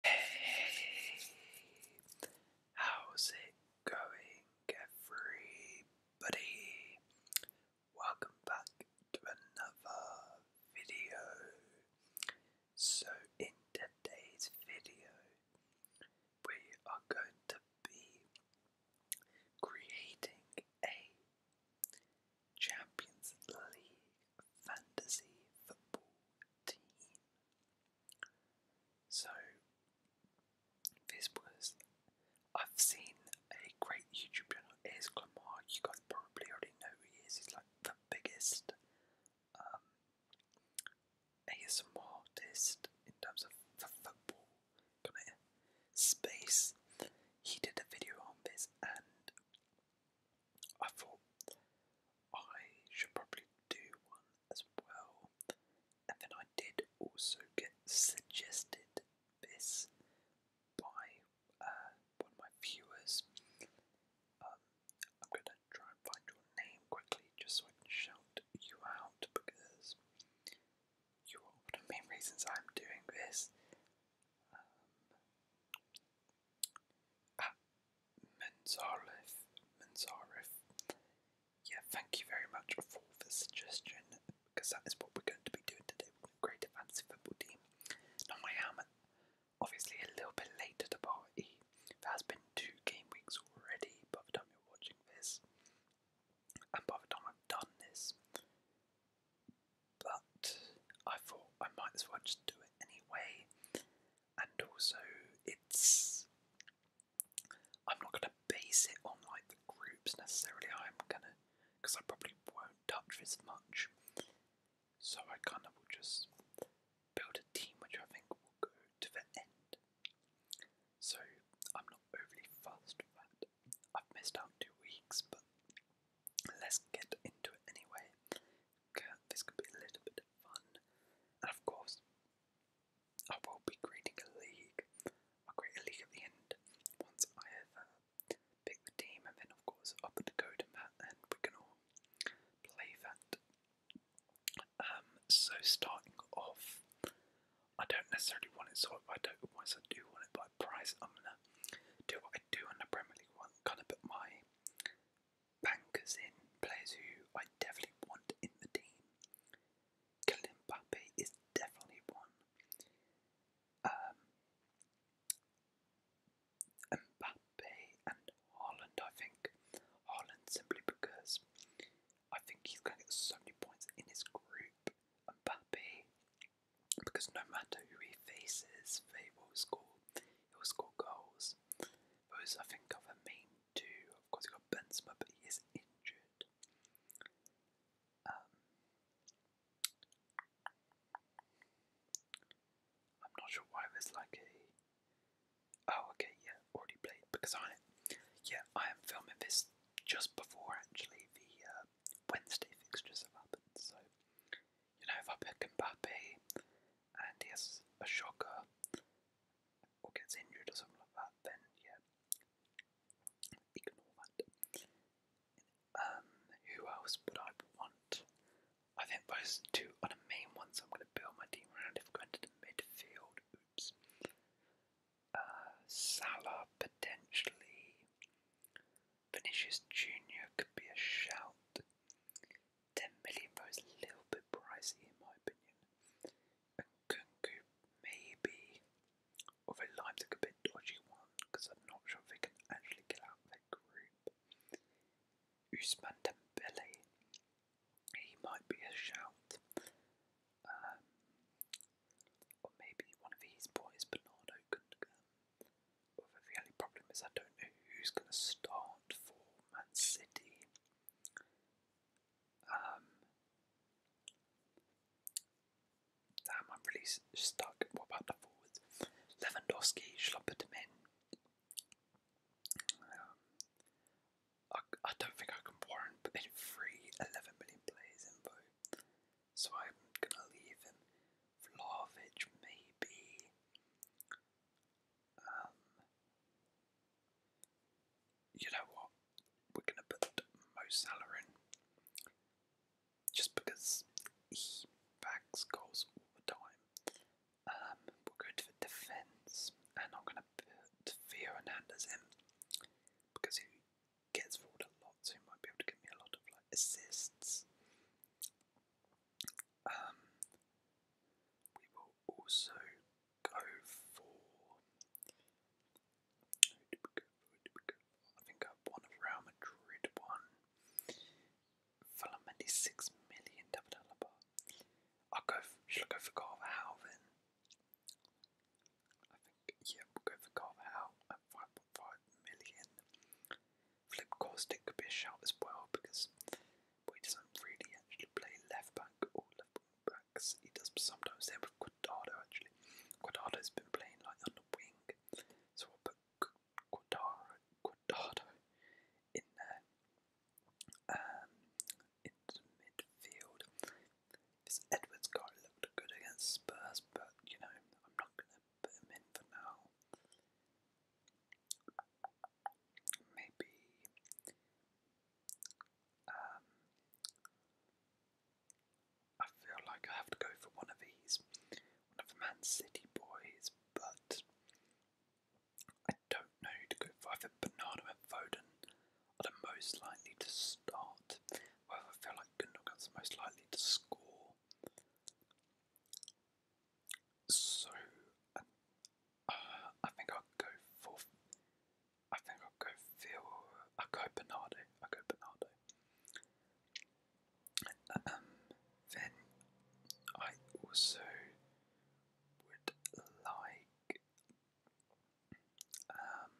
Hey, how's it going, everybody? Welcome back to another video. So, in today's video, we are going to be creating a Champions League fantasy football so, this was. I've seen a great YouTube channel, is Clamar. You guys probably already know who he is. He's like the biggest um, ASMR artist in terms of football kind of space. He did a video on this, and I thought I should probably do one as well. And then I did also get suggested this by uh, one of my viewers. Um, I'm going to try and find your name quickly just so I can shout you out because you are one of the main reasons I'm doing this. Um, Ah, Menzarif, Menzarif. Yeah, thank you very much for the suggestion because that is what we're going to be doing today. We're going to create a fantasy football team. Now, I am obviously a little bit late to the party. There has been two game weeks already by the time you're watching this, and by the time I've done this, but I thought I might as well just do it anyway. And also, it's. I'm not going to base it on like the groups necessarily, I'm gonna. because I probably won't touch this much. So I kind of will just build a team which I think will go to the end. So I'm not overly fast with that. I've missed out two weeks, but let's get into it anyway this could be a little bit of fun. And of course, I will be creating a league. i create a league at the end once I have uh, picked the team, and then of course i put the code and we can all play that. Um, so starting off, I don't necessarily want it sorted by total points. I do want it by price. I'm gonna do what I do on the Premier League one, kind of put my Bankers in, players who I definitely want in the team. Kylian Mbappe is definitely one. Um, Mbappe and Holland. I think. Holland simply because I think he's going to get so many points in his group. Mbappe, because no matter who he faces, they will score. He'll score goals. Those I think are the main two. Of course, you got Benzema, but he is injured. Um, I'm not sure why there's like a. Oh, okay, yeah, already played because I, yeah, I am filming this just before actually the uh, Wednesday fixtures have happened, so you know, if I pick Mbappe and he has a shocker or gets injured or something like that, then yeah, ignore that. Um, who else would I want? I think those two are the main ones I'm going to build my team around if we're going to the midfield. Oops. Uh, Salah potentially. Vinicius Jr. could be a shout. 10 million for a little bit pricey, in my opinion. And Kunku, maybe. Although Lime took a bit dodgy one, because I'm not sure if they can actually get out of their group. Usman Dembele, he might be a shout. Um, or maybe one of these boys, Bernardo, can um, the only problem is I don't know who's going to start for Man City. Um, damn, I'm really stuck. What about the forwards? Lewandowski, shall Um, I, I don't think I can warrant putting three 11 million players in, so I'm gonna leave him. Vlahovic, maybe. Um, you know what? We're gonna put Mo Salah in, just because he bags goals all the time. Um, we'll go to defence, and I'm gonna put Theo Hernandez in because he gets forward a lot, so he might be able to give me a lot of like assists. Um, we will also go for. Who did we go for? Who did we go I think I have one of Real Madrid one. Filamendi six million David Alaba. I'll go. should I go for Carver Halvin? I think yeah, we'll go for Carver Hal. 5.5 million. Flip Caustic could be a shout as well because well, he doesn't really actually play left back or left backs. He does sometimes there with Quadrado actually. Quadrado's been playing like on the wing, so I'll put Quadrado, Quadrado in there. Um, into midfield. This Edwards guy looked good against Spurs, but you know, I'm not going them, put them in for now. Maybe um, I feel like I have to go for one of these, one of the Man City boys, but I don't know who to go for. I think Bernardo and Foden are the most likely to start. However, I feel like Gundogan's most likely to score. So, uh, uh, I think I'll go for. I think I'll go Phil. i go Bernardo. i go Bernardo. Um, then I also would like. Um,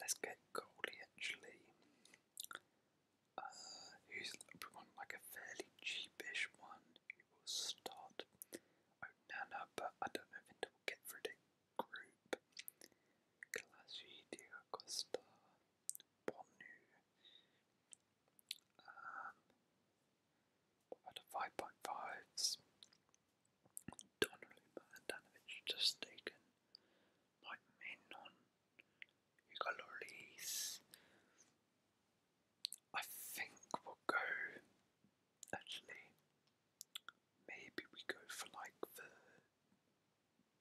Let's get Goldie actually. Uh, who's on like a fairly cheapish one who will start Onana, oh, but I don't know if it will get through the group. Kalasi, Costa, Bonu. Um, out of 5.5s, Donnarumma Danovich just taken. Mike Menon, Hugo Lloris. I think we'll go. Actually, maybe we go for like the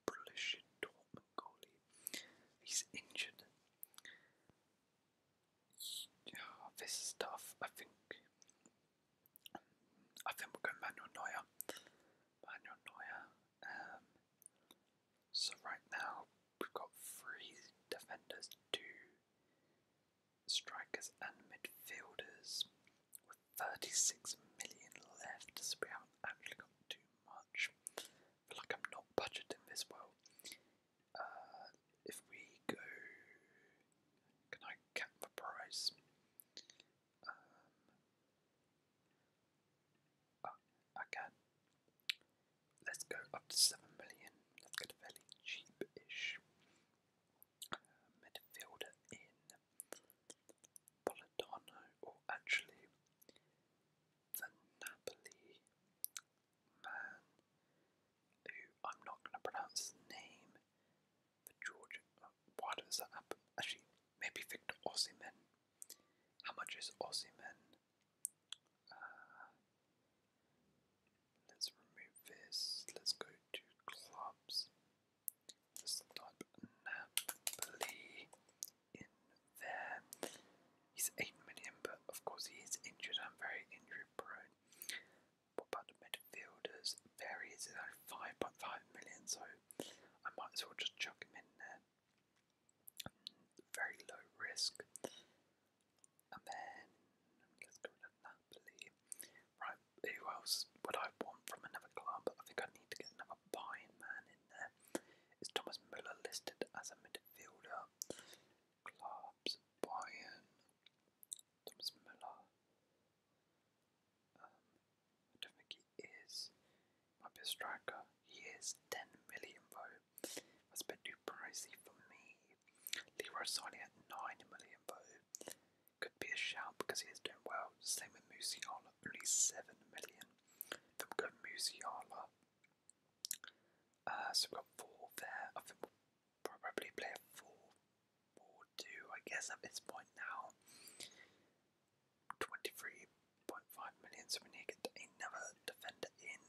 Borussia Dortmund goalie. He's injured. Oh, this is tough. I think I think we'll go Manuel Neuer. Manuel Neuer. Um, so right now we've got three defenders, two strikers and midfielders with 36 million left, so we haven't actually got too much. I feel like I'm not budgeting this well. Uh, if we go, can I cap the price? Um, uh, okay. Let's go up to 7 million. Let's get a fairly cheap uh, midfielder in Politano, or actually the Napoli man who I'm not going to pronounce his name the Georgia. Uh, why does that happen? Actually, maybe Victor Ozyman. How much is Ozyman? Uh, let's remove this. Let's go to clubs. Let's type Napoli in there. He's 8 million, but of course he is injured. I'm very injury prone about the midfielders varies, it's 5.5 million, so I might as well just chuck him in there. Mm, very low risk. And then, let's go to Napoli. Right, who else would I want from another club? I think I need to get another buying man in there. Is Thomas Müller listed as a midfielder? Clubs, Bayern, Thomas Miller. I don't think he is. Might be striker. He is 10 million though. That's a bit too pricey for me. Leroy Sané at 9 million though. Could be a shout because he is doing well. Same with Musiala, only 7 million. Then we've got Musiala. Uh, so we've got 4 there. I probably play a 4 2, I guess, at this point now. 23.5 million, so we need to get another defender in.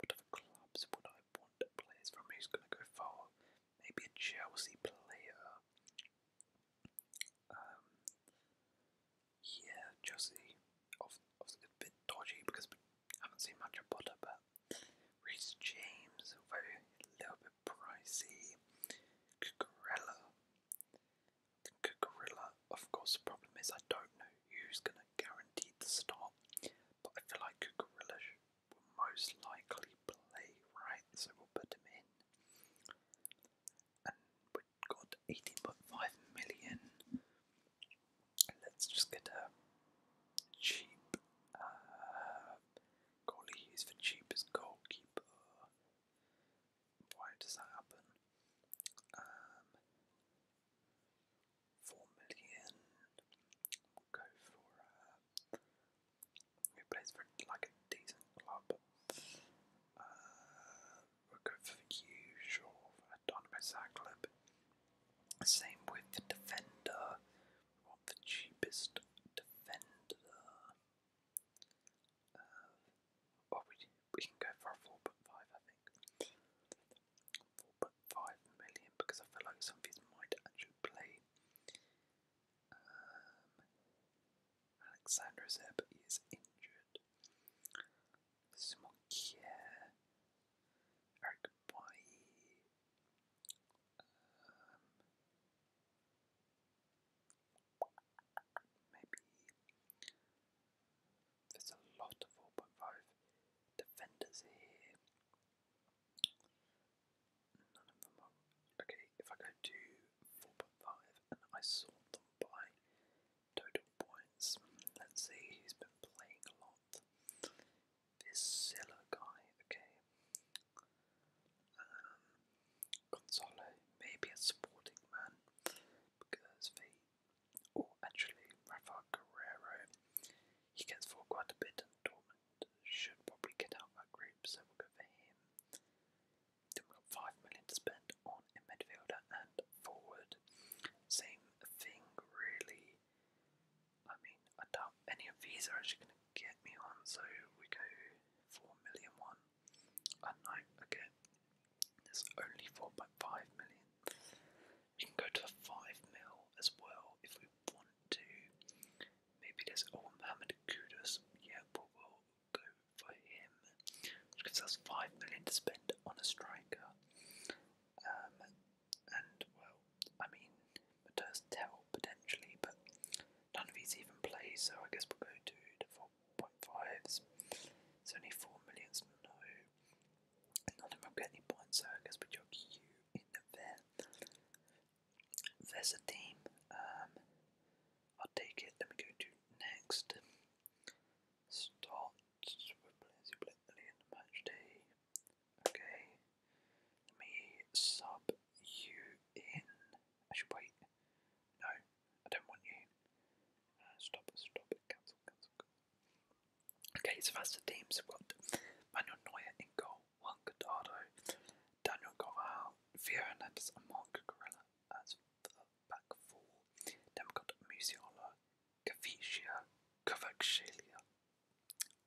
What other clubs would I want players from? Who's going to go far? Maybe a Chelsea player. Um, yeah, Chelsea. Obviously, a bit dodgy because we haven't seen much of Potter, but Reese James, a little bit pricey. Cucurella. The of course, the problem is I don't know who's going to guarantee the start, but I feel like Cucurella will most likely play right, so we'll put him in. And we've got 18.5 million. Let's just get a cheap uh, Goalie is the cheapest goalkeeper. Why does that happen? four go for. Uh, plays for like a decent club? we'll go for the usual Dynamo Zagreb. Same with defender. We the cheapest defender. Uh, well, oh, we, we can go for 4.5, I think. 4.5 million, because I feel like some of these might actually play. Um, Alexander is is injured. Simon Eric Bailly, maybe um, there's a lot of 4.5 defenders here. None of them are. Okay, if I go to 4.5 and I sort them by total points, let's see who's been playing a lot this Zilla guy, okay. Um, Gonzalo, maybe a supporting man, because they, or actually, Rafa Guerrero, he gets for quite a bit, and Dortmund should probably get out of that group, so we'll go for him. Then we've got 5 million to spend on a midfielder and forward. Same thing, really. I mean, I doubt any of these are actually going to get me on, so we go 4 million one. And I again. there's only 4.5 million. We can go to the 5 mil as well if we want to. Maybe there's, oh, Mohamed Kudus, yeah, but we'll go for him. Which gives us 5 million to spend on a striker. Um, and, well, I mean, Matthias Tell potentially, but none of these even play, so I guess we'll go to the 4.5s. It's only 4 millions, no. None of them get any points, so I guess we jog you in there. There's a team. Um, I'll take it. Let me go to next. Start. We're playing Super in the match Okay. Let me sub you in. Actually, wait. No, I don't want you. Uh, stop stop Cancel, cancel, Okay, so that's the team. So we've got Manuel Neuer in goal, Juan Guardado, Daniel Corral, Vera Hernandez, and Marco Corella as the back four. Then we got Musiala, Caviccia, Cavaxilia.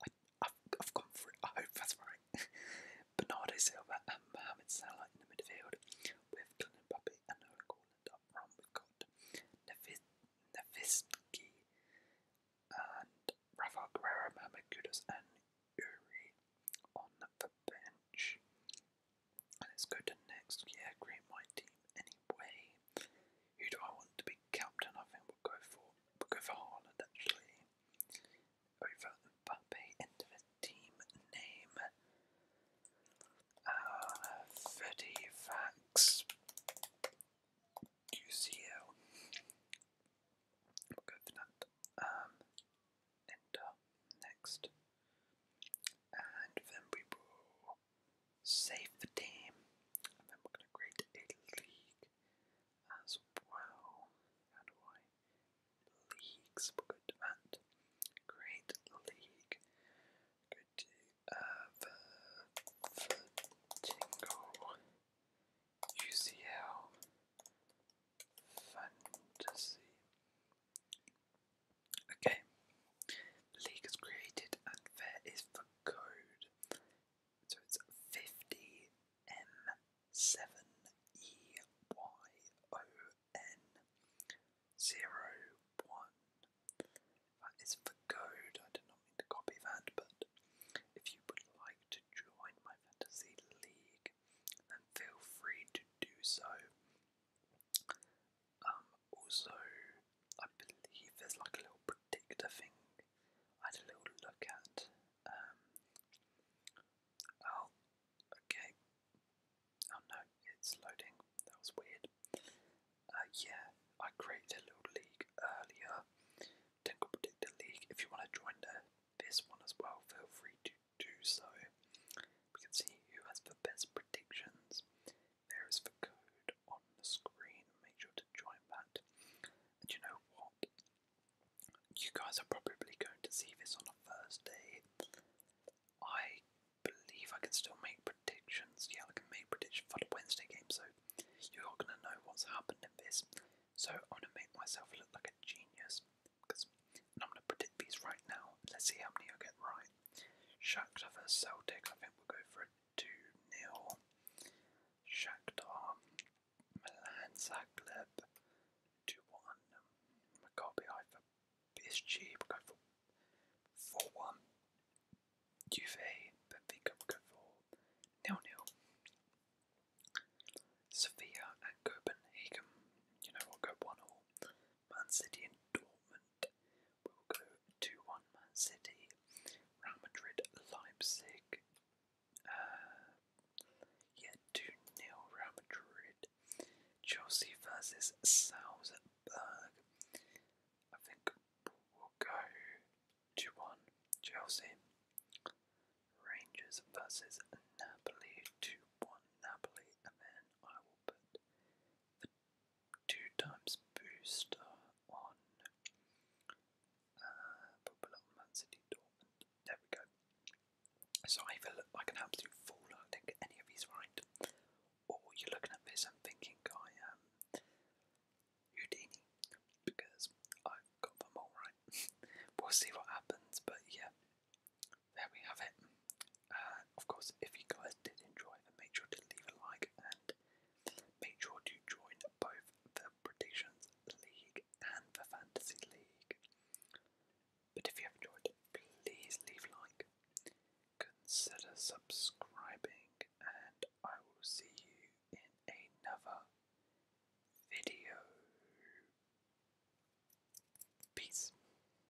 I, have I've gone for I hope that's right. Bernardo Silva and Mohamed Salah in the midfield, with Glenn Puppy and Nolan Corland up front. We've got Nevisky and Rafael Guerrero, Mohamed Kudus, and Uri on the bench. Let's go next. Yeah, great my team anyway. Who do I want to be captain? I think we'll go for we'll go for Haaland actually. Over Mbappe into the team name. Uh Freddy Vax UCL. We'll go for that. Um enter next. And then we save the team, and then we're going to create a league as well. How do I? Leagues, we're going to add create league. we to uh, the tingle UCL fantasy. Okay, the league is created and there is the code. So it's 50M7EYON 01. That is the code. I do not mean to copy that, but if you would like to join my fantasy league, then feel free to do so. Um, also, I believe there's like a little predictor thing I had a little look at. Um, oh, okay. Oh no, it's loading. That was weird. Uh, yeah, I created a little league earlier. Tinkle Predictor League. If you want to join the, this one as well, feel free to do so. We can see who has the best predictions. There is the code on the screen. Make sure to join that. And you know what? You guys are probably going to see this on a Thursday. I believe I can still make predictions. Yeah, I can make predictions for the Wednesday game, so you're going to know what's happened in this. So I'm going to make myself look like a genius. Because I'm going to predict these right now. Let's see how many I get right. Shakhtar vs Celtic. I think we'll go for a 2 0. Shakhtar, Milan Zagreb 2 1. Maccabi Haifa PSG. We'll go for 4 1. Juve, Benfica. We'll go for 0 0. Sevilla and Copenhagen. You know, we'll go 1 0. Man City and Dortmund will go 2 1 Man City, Real Madrid, Leipzig. Uh, yeah, 2 0 Real Madrid. Chelsea versus Salzburg. I think we'll go 2 1 Chelsea. Rangers versus Napoli 2 1 Napoli. And then I will put two times booster on uh, Man City Dortmund. There we go. So I feel I can absolutely fall. I think any of these right. Or you're looking at this and thinking I um, Houdini because i got them all right. we'll see what happens, but yeah, there we have it. Uh, of course, if you guys did enjoy, then make sure to leave a like and make sure to join both the Predictions League and the Fantasy League. But if you have enjoyed, please leave like, consider subscribing, and I will see you in another video. Peace.